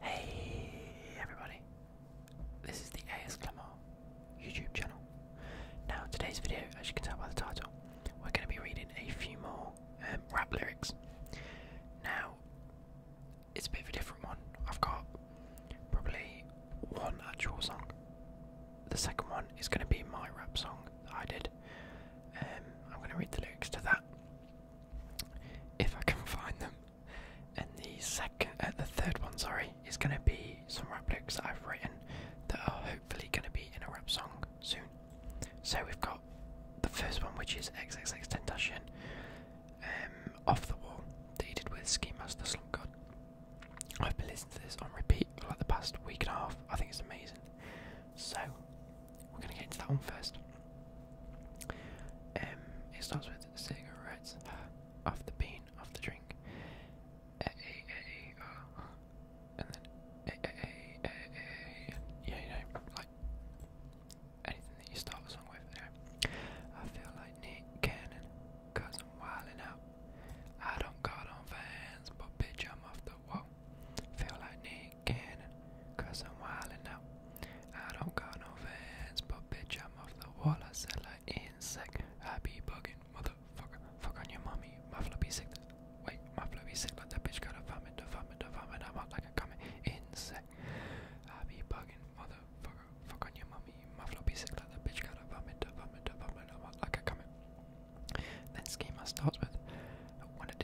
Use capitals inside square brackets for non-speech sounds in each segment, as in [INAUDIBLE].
Hey everybody, this is the AS YouTube channel. Now, today's video, as you can tell by the title, we're going to be reading a few more um, rap lyrics. Now, it's a bit of a different one. I've got probably one actual song. The second one is going to be my rap song that I did. Um, I'm going to read the lyrics to that if I can find them. And the second, uh, the third one, sorry, is going to be some rap that I've written that are hopefully going to be in a rap song soon. So we've got the first one, which is XXX Tentacion, um, off the wall dated with Ski Master Slump God. I've been listening to this on repeat for like the past week and a half. I think it's amazing. So we're gonna get into that one first. Um, it starts with cigarettes off the bean, off the drink. Uh, and then a yeah, like anything that you start with. I feel like Nick Cannon, i I'm wilding out. I don't got on fans, but bitch, I'm off the wall. Feel like Nick chain cannon, cause I'm wildin' out. I don't got no fans, but bitch, I'm off the wall. I sell an insect. I be buggin', motherfucker. Fuck on your mommy. My flow be sick. Wait, my flow be sick. Like that bitch got a vomit, a vomit, a vomit. I'm out like a comet. Insect. I be buggin', motherfucker. Fuck on your mommy. My flow be sick. Like that bitch got a vomit, a vomit, a vomit. I'm out like a comet. Then schema starts with. When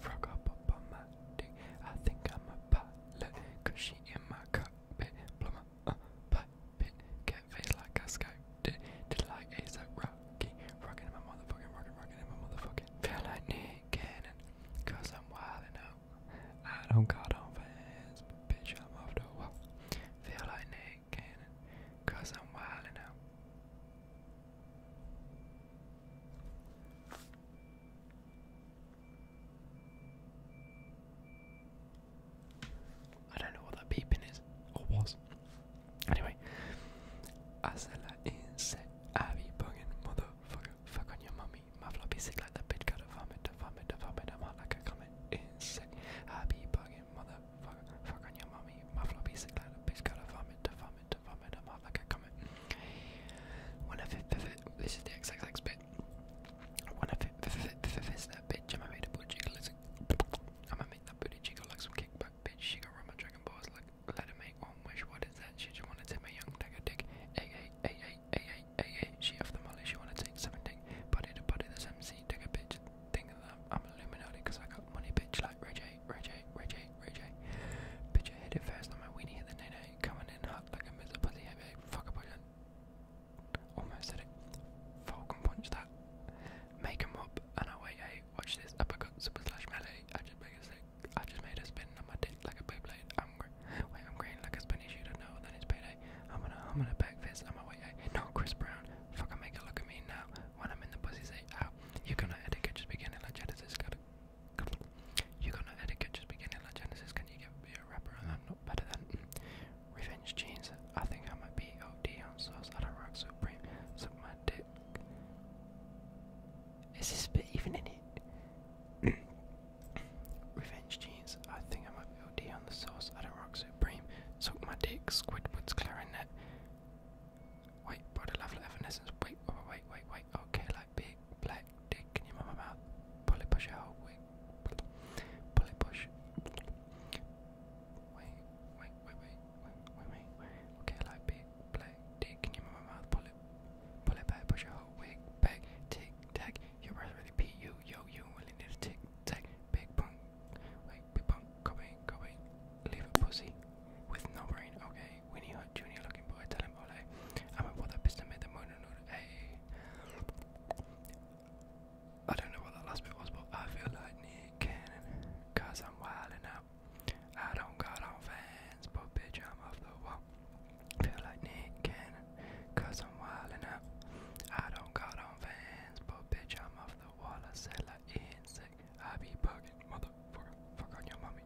Frog up on my dick. I think I'm a pilot. Cause she in my cockpit. Plum up uh, a pit. Get face like a skyped Did Did like ASAP Rocky. Rockin' in my motherfucking rockin', rockin' in my motherfucking. Feel like Nick Cannon. Cause I'm wildin' out. I don't got on fans, bitch, I'm off the wall. Feel like Nick Cannon. Cause I'm wildin' out. I don't know what that beeping is or was. Anyway, Azela is Abby bugging motherfucker, fuck on your mummy. My floppy like the bitch got a vomit, a vomit, a vomit, I'm like a comet. Insect, Abby bugging motherfucker, fuck on your mummy. My floppy like the bitch got a vomit, a vomit vomit, vomit, I'm out like a comet. When I fit, this is the XXX bit. When I fit, fit, that bitch, I'ma make the booty jiggle. I'ma make that booty jiggle like some kickback bitch. She gon' run my dragon balls like, let her make one wish. What is that? She just wanna take my young dagger dick. A a a a a a a a. She off the molly, she wanna take something dick. Body to body, this MC, digger bitch. Think of that, I'm Illuminati cause I got money, bitch, like Reggie. Ray J, Ray J, Ray J. Bitch, I hit it first on my weenie, hit the night coming in hot like a miserable pussy headache. Fuck a bullet. Almost said it. Falcon punch that. Make him up, and I wait, hey, watch this. Uppercut, super slash melee. I just make a sick. I just made a spin on my dick like a Beyblade. I'm green. Wait, I'm green like a spinny shooter. No, then it's payday. I'm gonna, I'm gonna back this. I'm gonna wait, hey. No, Chris Brown. Fucking make a look at me now. When I'm in the pussy, say, ow. You're gonna edit, just beginning like Genesis. Go you got no etiquette just beginning like Genesis. Can you get a rapper? And I'm not better than [LAUGHS] Revenge Jeans. I think I might be OD on sauce. I don't rock supreme. Suck my dick. Is this bit even in it? [COUGHS] Revenge Jeans. I think I might be OD on sauce. I don't rock supreme. Suck my dick. Squidward's clarinet. Wait, broader level of evanescence. Wait, wait, wait, wait, wait. Okay, like big black dick in your mama mouth. Pull it, push it out. Wait, pull it, push. Wait, wait, wait, wait, wait, wait, wait. Okay, like big black dick in your mama mouth. Pull it, pull it back, push it out. Wait, back, tick, tack. Your breath really pee you, yo, you really need a tick, tack. Big bump, wait, big bump. Go in, go in. Leave a pussy with no brain. Okay, Winnie Hot Junior looking boy, tell him Ole. I'm a what up is to make the morning order. Hey. I don't know what that last bit was, but I feel like Nick Cannon, cause I'm wildin' out. I don't got on fans, but bitch, I'm off the wall. Feel like Nick Cannon, cause I'm wildin' out. I don't got on fans, but bitch, I'm off the wall. I said like insect, I be bugging, motherfucker, fuck on your mommy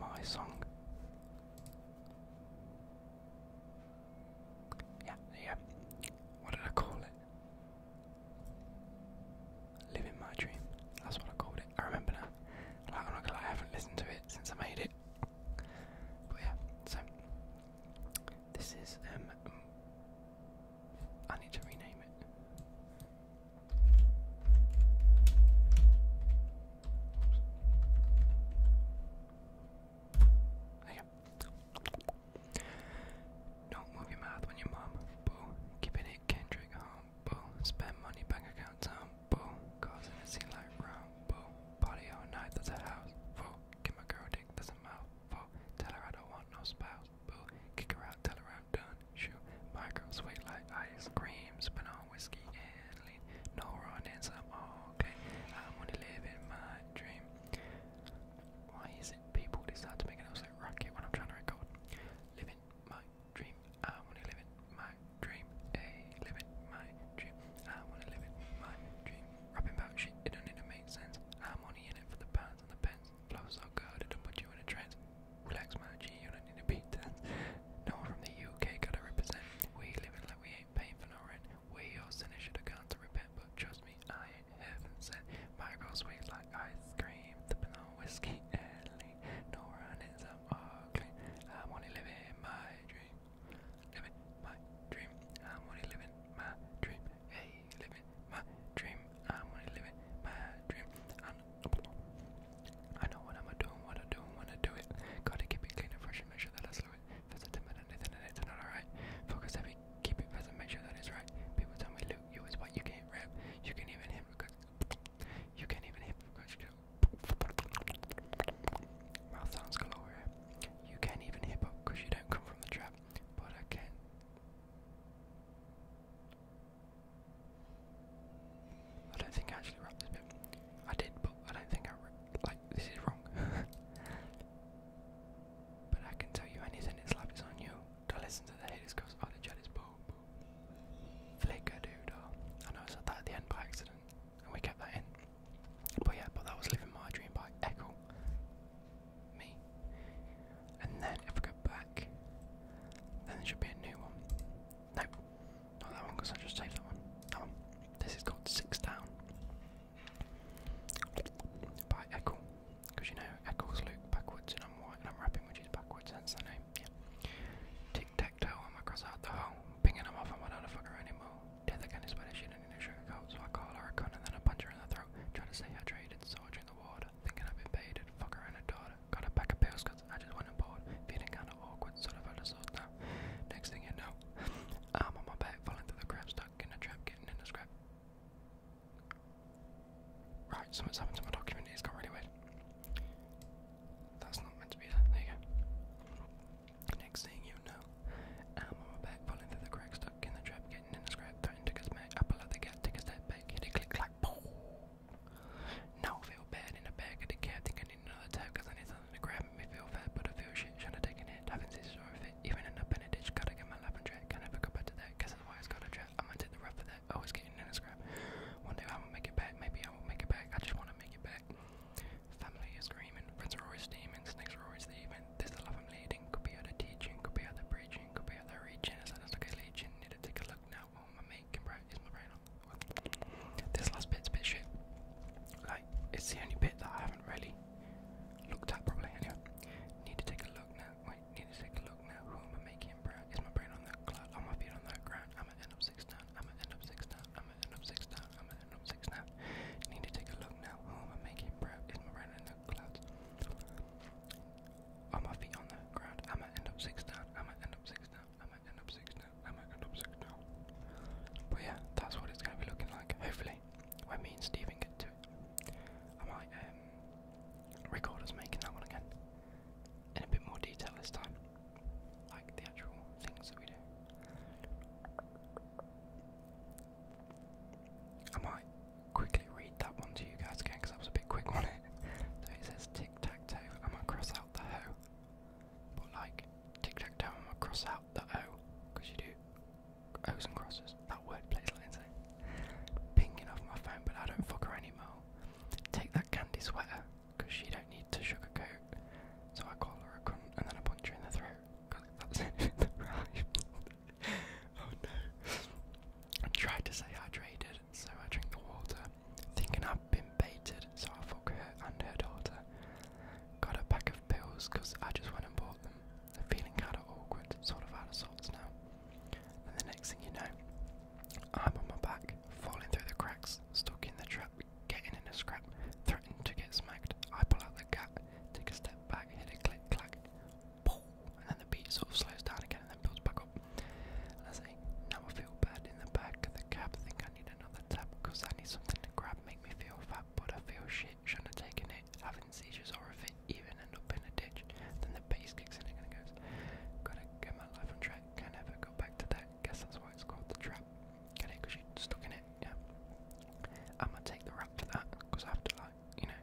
my song. Yeah, yeah. What did I call it? Living my dream. That's what I called it. I remember now. Like, I'm not gonna lie, I haven't listened to it since I made it. But yeah, so this is um, I need to rename it. There you go. Don't move your mouth when you mum. Boo. Keeping it Kendrick home. Boo. Spend money bank account time. Boo. Causing a sea like round. Boo. Party all night. That's a house. Boo. Give my girl dick. That's a mouth. Boo. Tell her I don't want no spouse. Boo. Kick her out. Tell her I'm done. Shoot. My girl sweet like ice cream. Spin on whiskey no wrong answer. okay. I want to live in my dream. Why is it people decide to make an absolute racket when I'm trying to record? Live my dream. I want to live in my dream. Hey, live my dream. I want to live in my dream. Rapping about shit, it don't even make sense. I'm only in it for the pounds and the pence. Flow so good, it don't put you in a trance. Relax my G unit standing to beat that. No one from the UK gotta represent. We living like we ain't paying for no rent. We all sinners should have gone to repent, but trust me, I ain't heaven sent. My girl sweet like ice cream, sipping on whiskey early. No runnings, I'm ugly. I'm only living my dream. Living my dream. I'm only living my dream. Hey, living my dream. I'm only living my dream. And I know what I'm doing, what I'm doing, when I do it. Gotta keep it clean and fresh and make sure that I slow it. That's a timid and anything and it's not alright. Focus heavy, keep it present, make sure that it's right. People tell me, Luke, you is what you can't rap. You can even hit because [TSK] you can't even hit because you [TSK] Mouth sounds galore. You can't even hip hop because you don't come from the trap, but I can. I don't think I actually wrapped this bit. I did, but I don't think I like this is wrong. [LAUGHS] but I can tell you anything. It's life is on you. Don't listen to the haters, cause all the chat Flicker dude. Oh, I know it's not that at the end by accident, and we kept that in. But yeah, but that was living my dream by Echo. Me. And then if we go back, then there should be a new one. Nope, not that one because I just saved that one. This is called Six Down by Echo. Because you know, Echoes look backwards and I'm white and I'm rapping, which is backwards, hence the name. Tic tac toe, I'm across out the hole. Pinging him off, I'm not a fucker anymore. Death again is what I should, in a sugar coat, so I call her a cunt then I punch her in the throat. Try to stay hydrated, so I drink the water. Thinking I've invaded, fucker and a daughter. Got a pack of pills, I just went on board, feeling kind of awkward, sort of. I just thought, no. Next thing you know, I'm on my back, falling through the cracks, stuck in the trap, getting in a scrap. Right, something's happened to my document. It's got really weird. That's not meant to be there. There you go. Next thing you know, I'm on my back, falling through the crack, stuck in the trap, getting in a scrap, threatening to get smacked. I the cat, take a back, hit a click, Now I feel bad in the back of the cab, another tap I need something to grab me feel fat, but I feel shit. Should I take a hit? haven't seen sort of it. Even in a ditch, gotta get my life on track. Can I ever go back to that? Guess that's got a trap. I'm gonna take the rough for that. Always getting in a scrap. One day I will make it back. Maybe I won't make it back. I just wanna make it back. Family is screaming. Friends are always steaming. Snakes are always leaving. This the life I'm leading. Could be out teaching. Could be out preaching. Could be out reaching. It's not as like legion. Need to take a look now. What my I making? Bright is my brain this last bit's a bit shit. Like, it's the only bit that I haven't really looked at properly. Anyway, need to take a look now. Wait, need to take a look now. Who am I making, bro? Is my brain on that cloud? On my feet on that ground? I'm gonna end up six down. I'm gonna end up six down. I'm gonna end up six down. I'm gonna end up six down. Need to take a look now. Who am I making, bro? Is my brain on the clouds? On my feet on the ground. I'm gonna end up six down. I'm gonna end up six down. I might end up six now. I might end up six now. But yeah, that's what it's gonna be looking like. Hopefully, when me and Steven get to it, I might um, record us making that one again in a bit more detail this time, like the actual things that we do. I might quickly read that one to you guys again because that was a bit quick on it. [LAUGHS] so it says tic tac toe. I might cross out the hoe but like, tic tac toe, I'm gonna cross out the O, you do O's and crosses. That word plays like Pinging off my phone, but I don't fuck her anymore. Take that candy sweater, she don't need to sugarcoat. So I call her a and then I punch her in the throat, [LAUGHS] oh no. I tried to stay hydrated, so I drink the water, thinking I've been baited, so I fuck her and her daughter. Got a pack of pills I just went and bought them. I'm feeling kind of awkward, sort of out of sorts now. And the next thing you know, I'm on my back, falling through the cracks, stuck in the trap, getting in a scrap, threatened to get smacked. I pull out the cap, take a step back, hit a click clack, and then the beat sort of slows down again and then builds back up. And I say, now I feel bad in the back of the cab, think I need another tab I need something to grab, make me feel fat, but I feel shit. Shouldn't have taken it. Having seizures or if it even end up in a ditch, then the bass kicks in and it goes. Gotta get my life on track. Can never go back to that. Guess that's why it's called the trap. Get it? you're stuck in it. Yeah. I'm gonna take the rap for that I have to like, you know,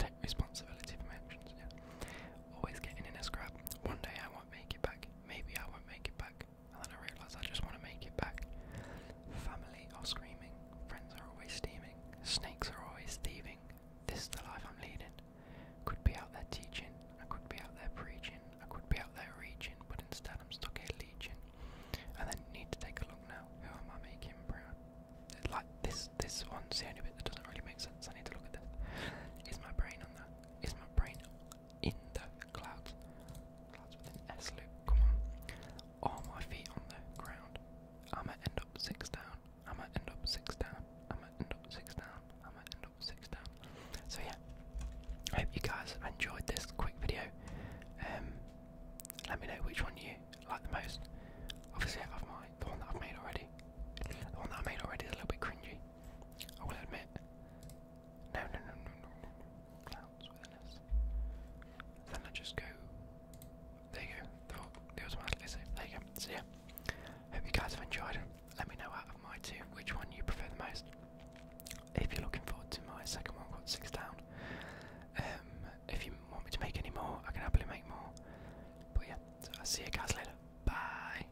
take responsibility for my actions. Yeah. Always getting in a scrap. One day I won't make it back. Maybe I won't make it back. And then I realise I just want to make it back. Family are screaming. Friends are always steaming. Snakes are always thieving. This is the life I'm leading. Could be out there teaching. I could be out there preaching. I could be out there reaching. But instead I'm stuck here leeching. And then need to take a look now. Who am I making proud? Like this, this one's the only bit that doesn't really make sense. I need to look at this. Is my brain on that? Is my brain in the clouds. Clouds with an S loop, come on. All my feet on the ground. I'ma end up six down. I'ma end up six down. I'ma end up six down. I'ma end up six down. So yeah. I hope you guys enjoyed this quick video. Um let me know which one you like the most. Obviously I've my the one that I've made already. The one that I made already is a little bit cringy. I will admit. No, no, no, no, no, no, Clouds with an Then I just go. There you go. The, the automatically There you go. So yeah. Hope you guys have enjoyed. Let me know out of my two which one you prefer the most. If you're looking forward to my second one, i six down. Um, if you want me to make any more, I can happily make more. But yeah, I'll see you guys later. Bye.